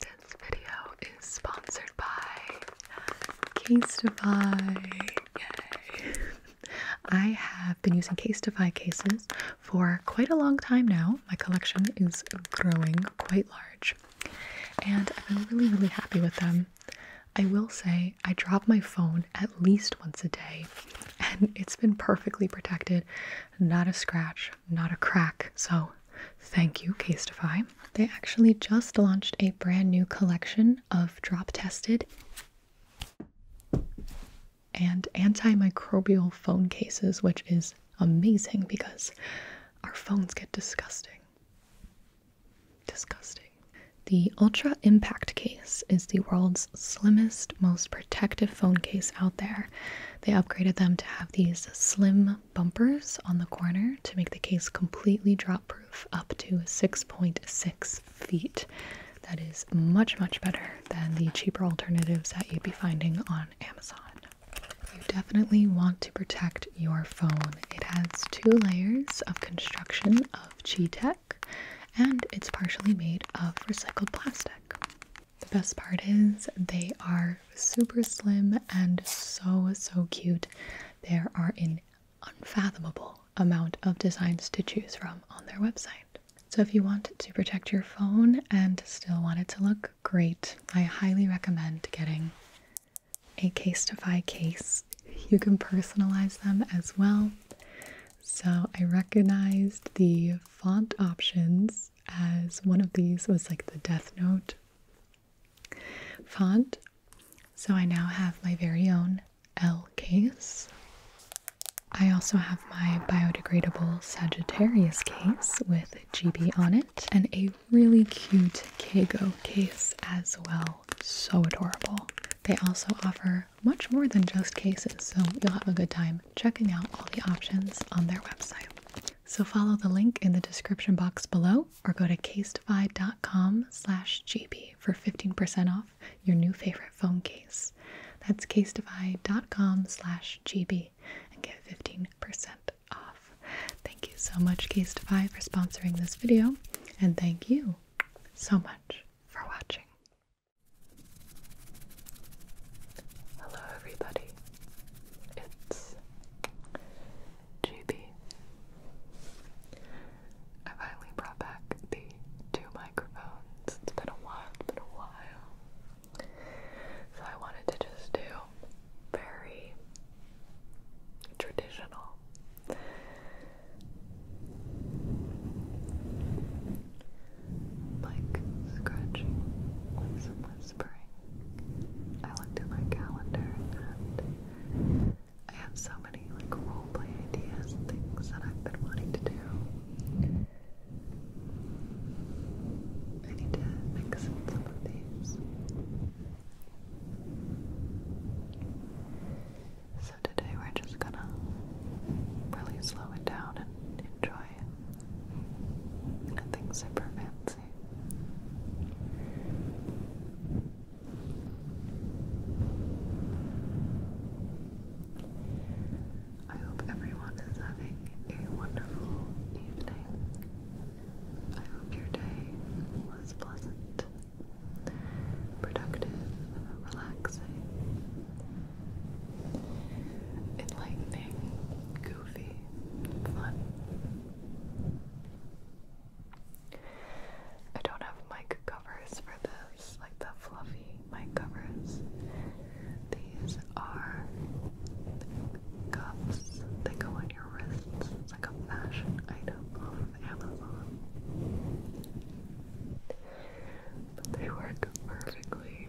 This video is sponsored by Casetify. Yay! I have been using Casetify cases for quite a long time now. My collection is growing quite large, and i have been really, really happy with them. I will say I drop my phone at least once a day, and it's been perfectly protected. Not a scratch, not a crack. So Thank you, Casetify. They actually just launched a brand new collection of drop tested and antimicrobial phone cases, which is amazing because our phones get disgusting. Disgusting. The Ultra Impact case is the world's slimmest, most protective phone case out there. They upgraded them to have these slim bumpers on the corner to make the case completely drop proof up to 6.6 feet. That is much, much better than the cheaper alternatives that you'd be finding on Amazon. You definitely want to protect your phone. It has two layers of construction of G tech and it's partially made of recycled plastic. The best part is they are super slim and so, so cute. There are an unfathomable amount of designs to choose from on their website. So if you want to protect your phone and still want it to look great, I highly recommend getting a Casetify case. You can personalize them as well. So I recognized the font options as one of these was like the Death Note font. So I now have my very own L case. I also have my biodegradable Sagittarius case with GB on it and a really cute Kago case as well. So adorable. They also offer much more than just cases, so you'll have a good time checking out all the options on their website. So follow the link in the description box below or go to casetify.com slash gb for 15% off your new favorite phone case. That's casetify.com slash gb and get 15% off. Thank you so much Casetify for sponsoring this video and thank you so much for watching. Hello, everybody. It's GB. I finally brought back the two microphones. It's been a while, been a while. So I wanted to just do very traditional like scratching with some whispering. I looked at my calendar and I have so many like role play ideas and things that I've been wanting to do. I need to mix in some of these. So today we're just gonna really slow it down and enjoy Nothing super fancy. I hope everyone is having a wonderful evening. I hope your day was pleasant, productive, relaxing, enlightening, I don't have mic covers for this, like the fluffy mic covers. These are cuffs. They go on your wrists. like a fashion item off of Amazon. they work perfectly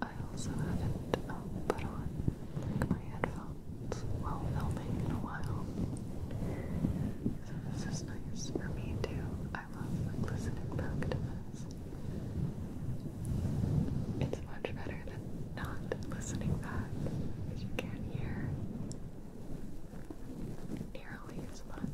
I also haven't um, put on my headphones while filming in a while, so this is nice for me too. I love listening back to this. It's much better than not listening back because you can't hear nearly as much.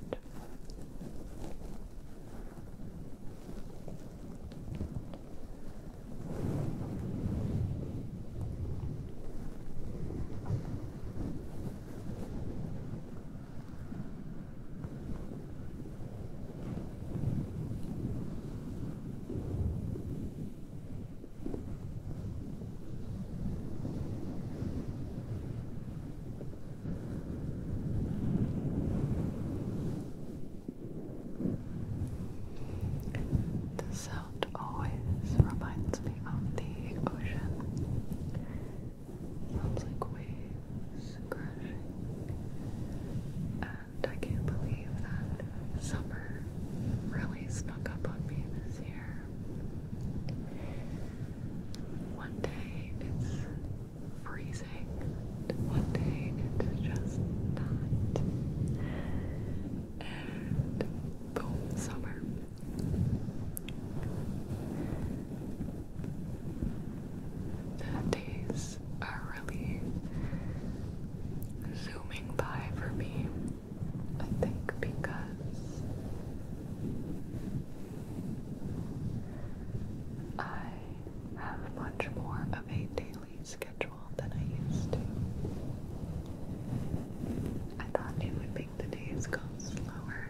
The sound always reminds me of the ocean. Sounds like waves crashing. And I can't believe that summer really snuck up on me this year. One day it's freezing, one day it's just not. And boom, summer. The days are really zooming by for me. I think because I have much more of a daily schedule than I used to. I thought it would make the days go slower,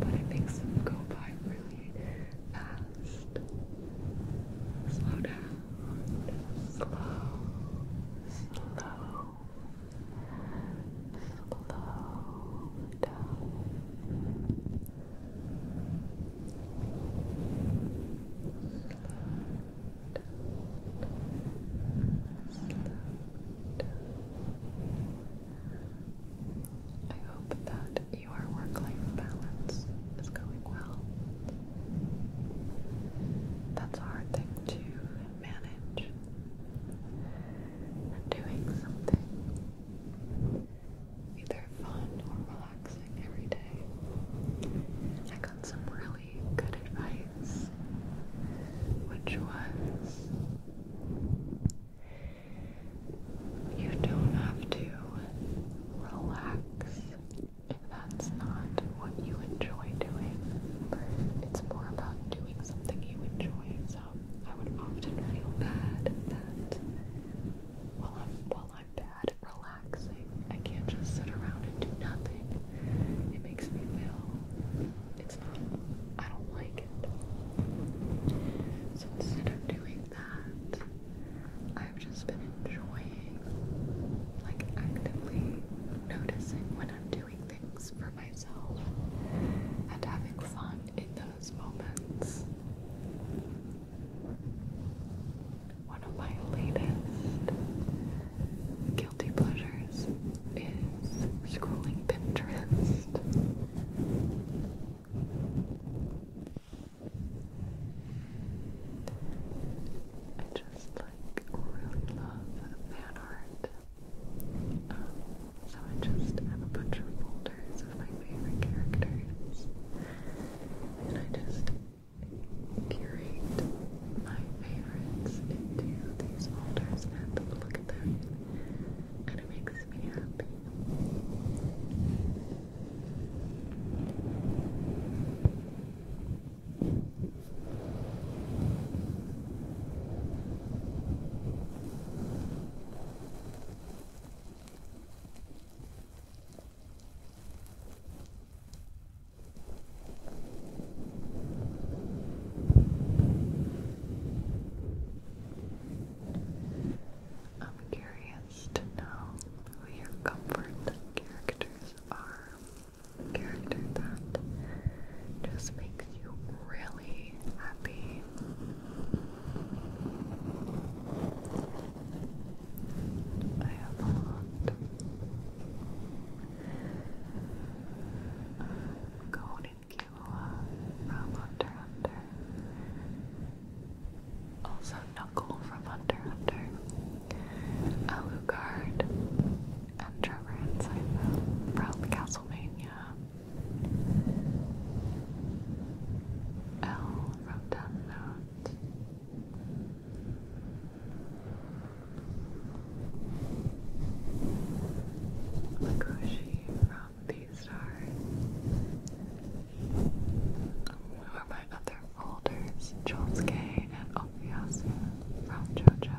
but it makes them go by really fast. Slow down. Slow. Slow slow down. Slow down. I hope that your work-life balance is going well. That's a hard thing to manage doing something either fun or relaxing every day. I got some really good advice, which was you don't have to relax if that's not what you enjoy doing. It's more about doing something you enjoy. So I would often feel bad that while I'm while I'm bad relaxing, I can't just sit around and do nothing. It makes me feel it's not I don't like it. So instead of doing that, I've just been enjoying like actively noticing when I'm doing things for myself and having fun in those moments. One of my latest guilty pleasures is scrolling Pinterest. I just like really love fan art. Um, so I just have a bunch of folders of my favorite characters, and I just curate my favorites into these folders and look at them, and it makes me happy. I'm curious to know who your comfort characters are character that just makes you really happy. I have a lot of uh, Gold from Hunter Hunter. Also Knuckle from Hunter Hunter. Alucard Andrew Trevor and Simon from Castlevania. L from Death Note. from Beastar. Who are my other folders? Jolske and Opiasu from JoJo.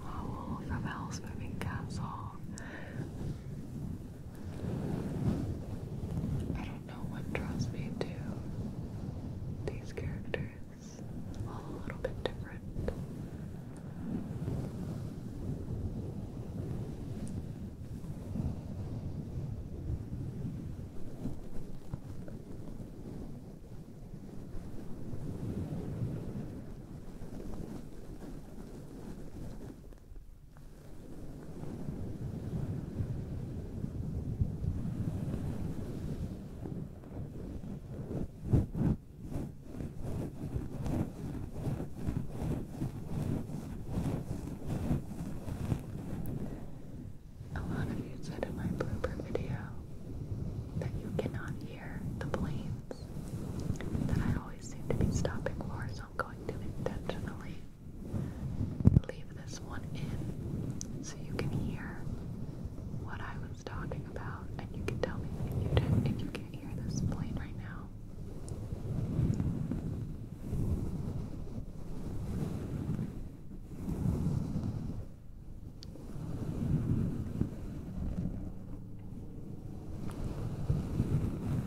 from Hell's Moving Castle. I don't know what draws me to these characters. All a little bit different. A lot you said in my blooper video that you cannot the planes that I always seem to be stopping for, so I'm going to intentionally leave this one in so you can hear what I was talking about, and you can tell me if you did, if you can't hear this plane right now.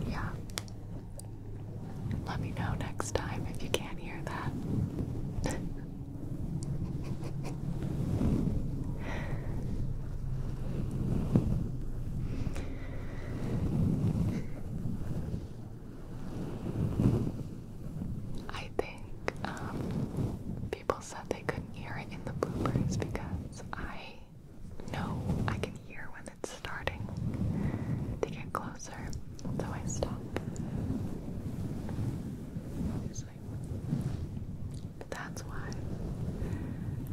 Yeah. Let me know next time if you can't hear that. I think um, people said they couldn't hear it in the bloopers because I know I can hear when it's starting to get closer, so I stop. But that's why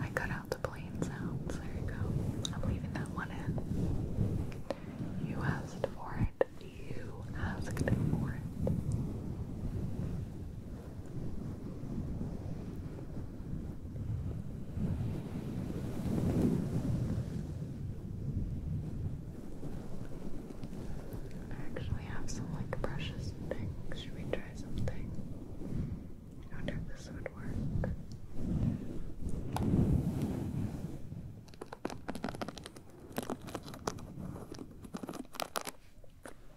I cut out the plane sounds. There you go. I'm leaving that one in. You asked for it. You asked for it. I actually have some like brushes Should we try something? I wonder if this would work.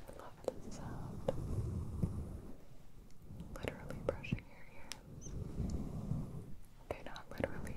love this sound. Literally brushing your ears. Okay, not literally.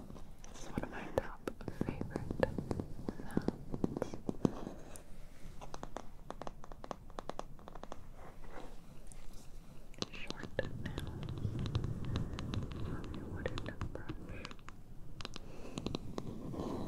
it's one of my top favorite sounds. Short nails wooden brush.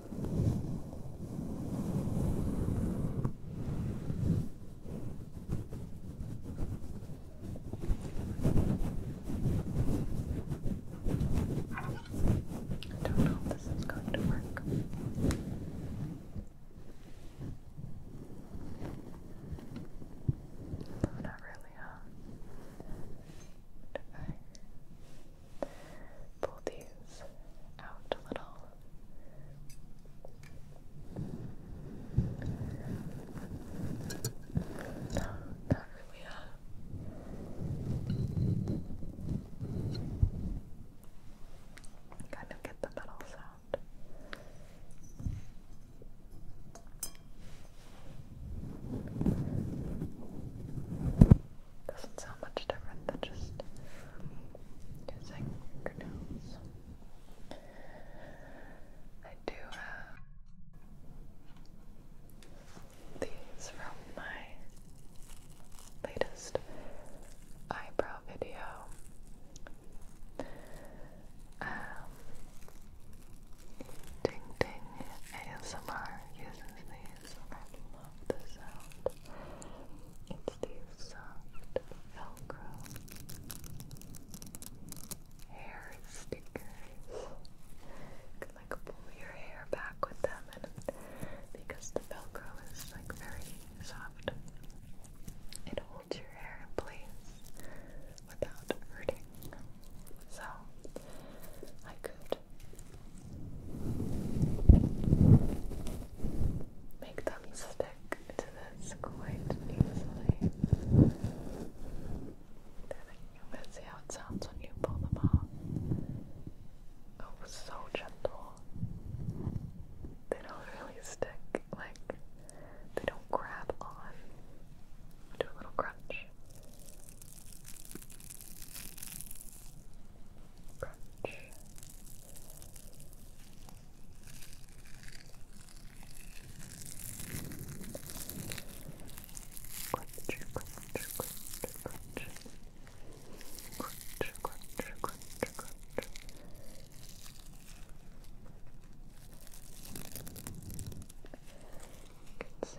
I don't know if this is going to work. Not really, huh? pull these out a little. Now, now here Kind of get the metal sound. Doesn't sound much different than just using fingernails. I do have these from my latest eyebrow video. Um, Ding Ding ASMR uses these love the sound. It's the soft Velcro hair stickers. can like pull your hair back with them, and because the Velcro is like very soft, it holds your hair in place without hurting. So I could Make them stick to quite easily. Let's see how it sounds when you pull them oh, so gentle. They don't really stick, like, they don't grab on. Do a little crunch. Crunch. Crunch, crunch, crunch, crunch. Crunch, crunch, crunch, crunch. Crunch, can see.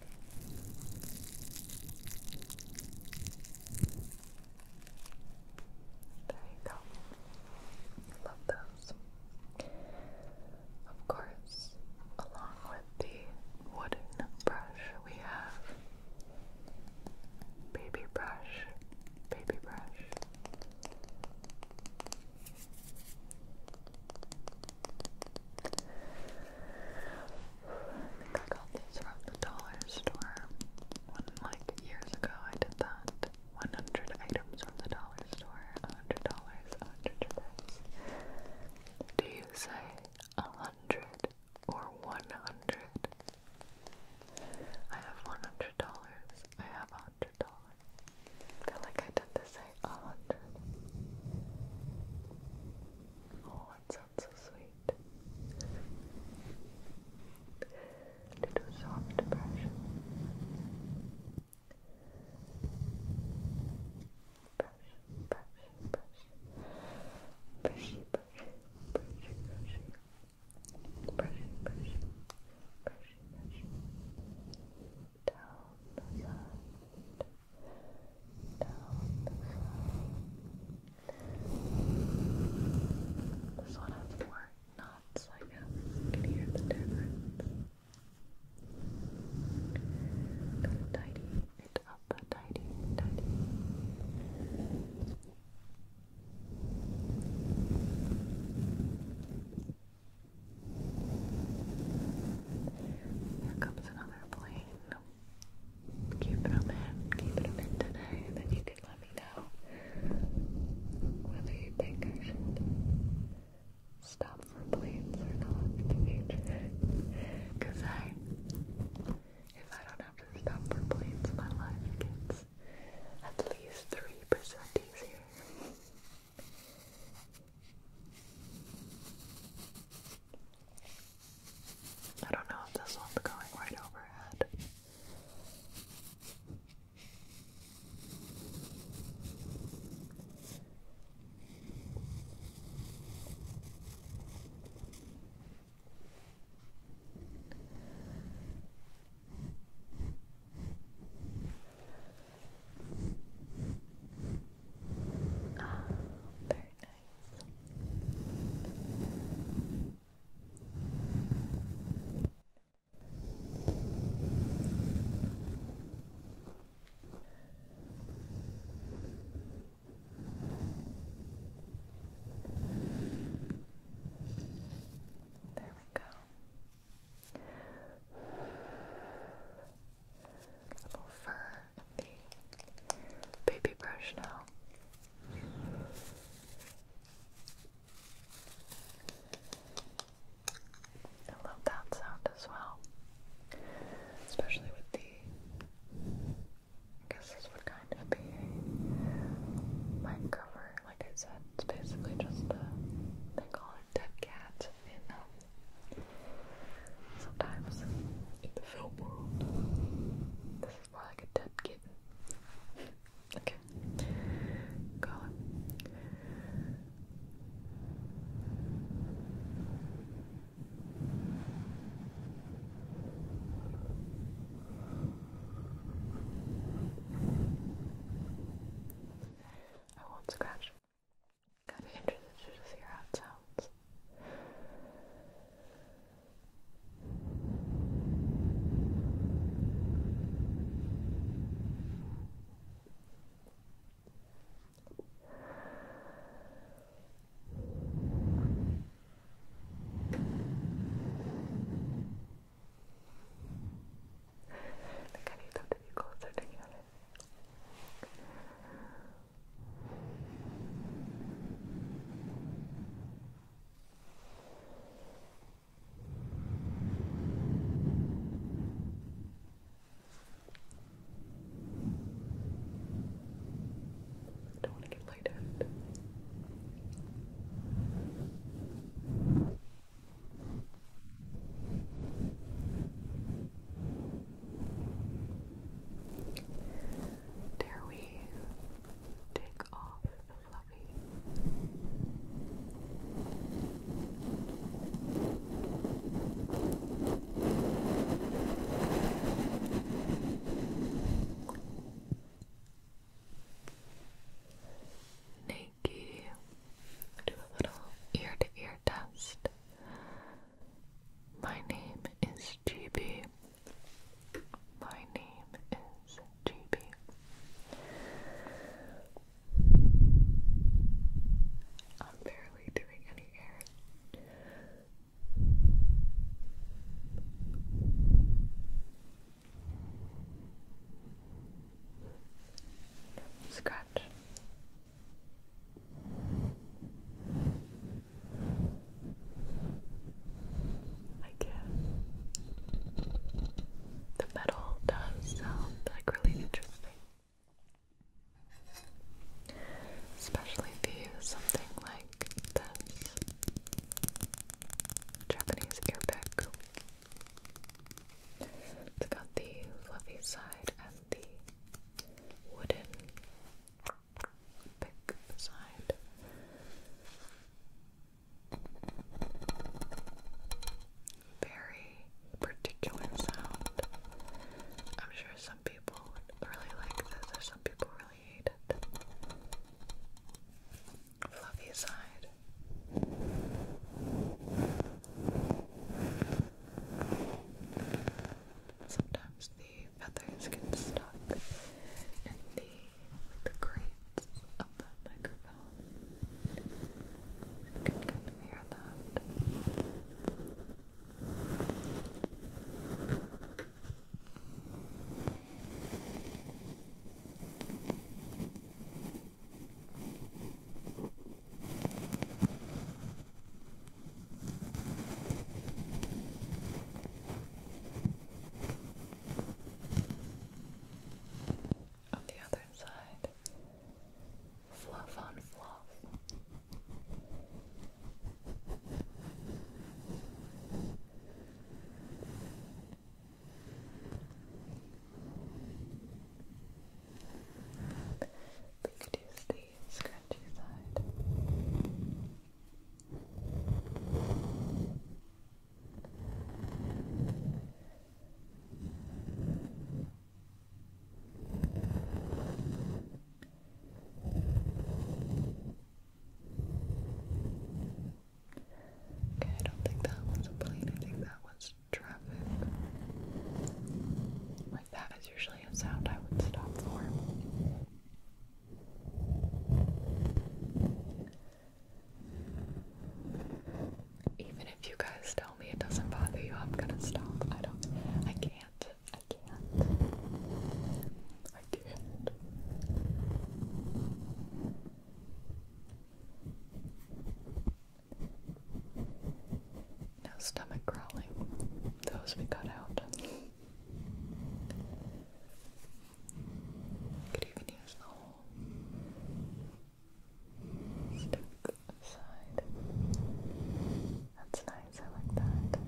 There you go. Love those. Of course, along with the wooden brush, we have baby brush, baby brush think I got these from the dollar store like, years ago I did that. 100 items from the dollar store, $100, $100. Do you say 100 or 100? I have $100. I have $100. feel like I tend to say 100. Oh, it sounds so sweet. Little soft brush. Brush, brush, brush. Brushy, brushy, brushy, brushy. Brushy, brushy, brushy, brushy. Down the side down This one has more knots, I You can hear the difference. tidy it up, tidy, tidy. Here comes another plane. Keep it open. Keep it open today, and then you can let me know whether you think I should stop for planes or not Cause I, if I don't have to stop for planes, my life gets at least three percent easier. I don't know if this one's going right overhead. Ah, oh, very nice. There we go. A little fur the baby brush now. I love that sound as well, especially with the. I guess this would kind of be a mic cover, like I said. It's basically just a. They call it dead cat in um, Sometimes in the film world, this is more like a dead kitten. Okay, go I won't scratch Gotta interested to hear how it sounds. I think I need them to be I don't want to get lighted. Good. Dare we take off the fluffy? Nikki, do a little ear to ear test my name is GB. My name is GB. am barely doing any air. Scratch, like the metal does sound like really interesting. Especially if you something like this Japanese ear It's got the fluffy side and the wooden pick beside. Very particular sound. I'm sure some people would really like this, or some people really hate it. Fluffy side sometimes the feathers get stuck in the, the grates of the microphone. You can kind of hear that. On the other side, fluff on fluff. We could gently scratch your side. Okay, I don't think that was a plane, I think that was traffic that is usually a sound I would stop for. Even if you guys tell me it doesn't bother you, I'm gonna stop. I don't I can't. I can't. I can't. No stomach growling. Those we cut out. Could even use the whole That's nice, I like that.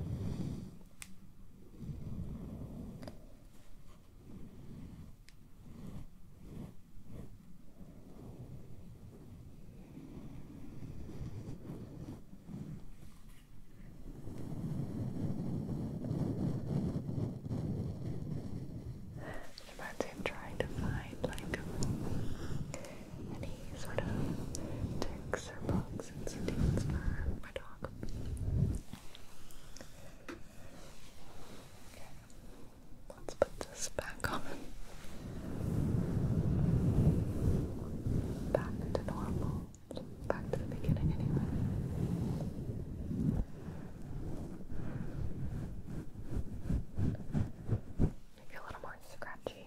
About to try to find like any sort of ticks or bugs and stings for my dog. Okay. Let's put this back that common. Back to normal. Back to the beginning, anyway. Maybe a little more scratchy.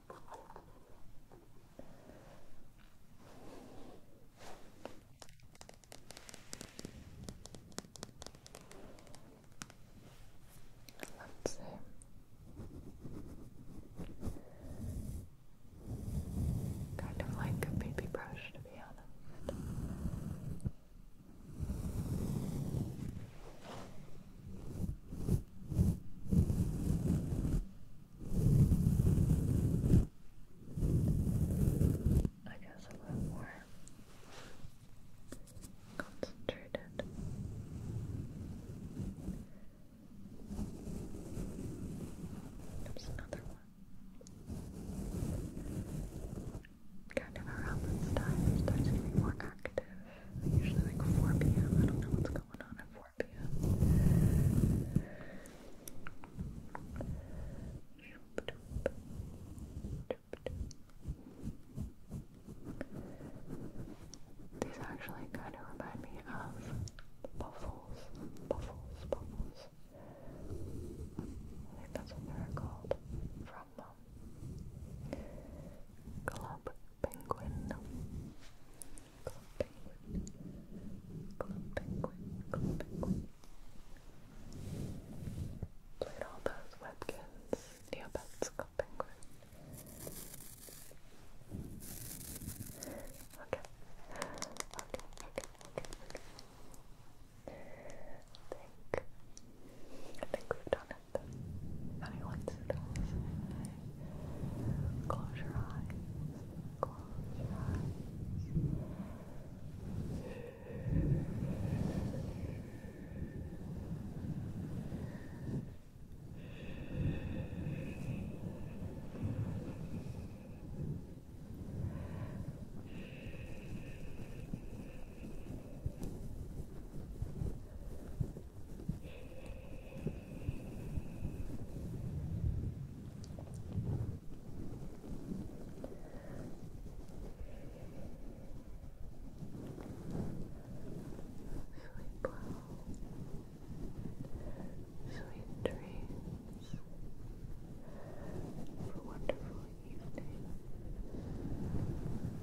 Let's see. Kind of like a baby brush, to be honest. I guess a little more concentrated. There's another one. Kind of around this time, it starts more active. Usually like 4 p.m. I don't know what's going on These actually kind of remind me of buffles, buffles, buffles. I think that's what they're called from um, Club penguin, no. penguin, club penguin, penguin. Played all those Webkins, Neopets, penguin. Okay. Okay, okay, think, I think we've done it breath. How do you like to Close your eyes. Close your eyes. Close your eyes. Sleep well. Sweet dreams. Have wonderful evening.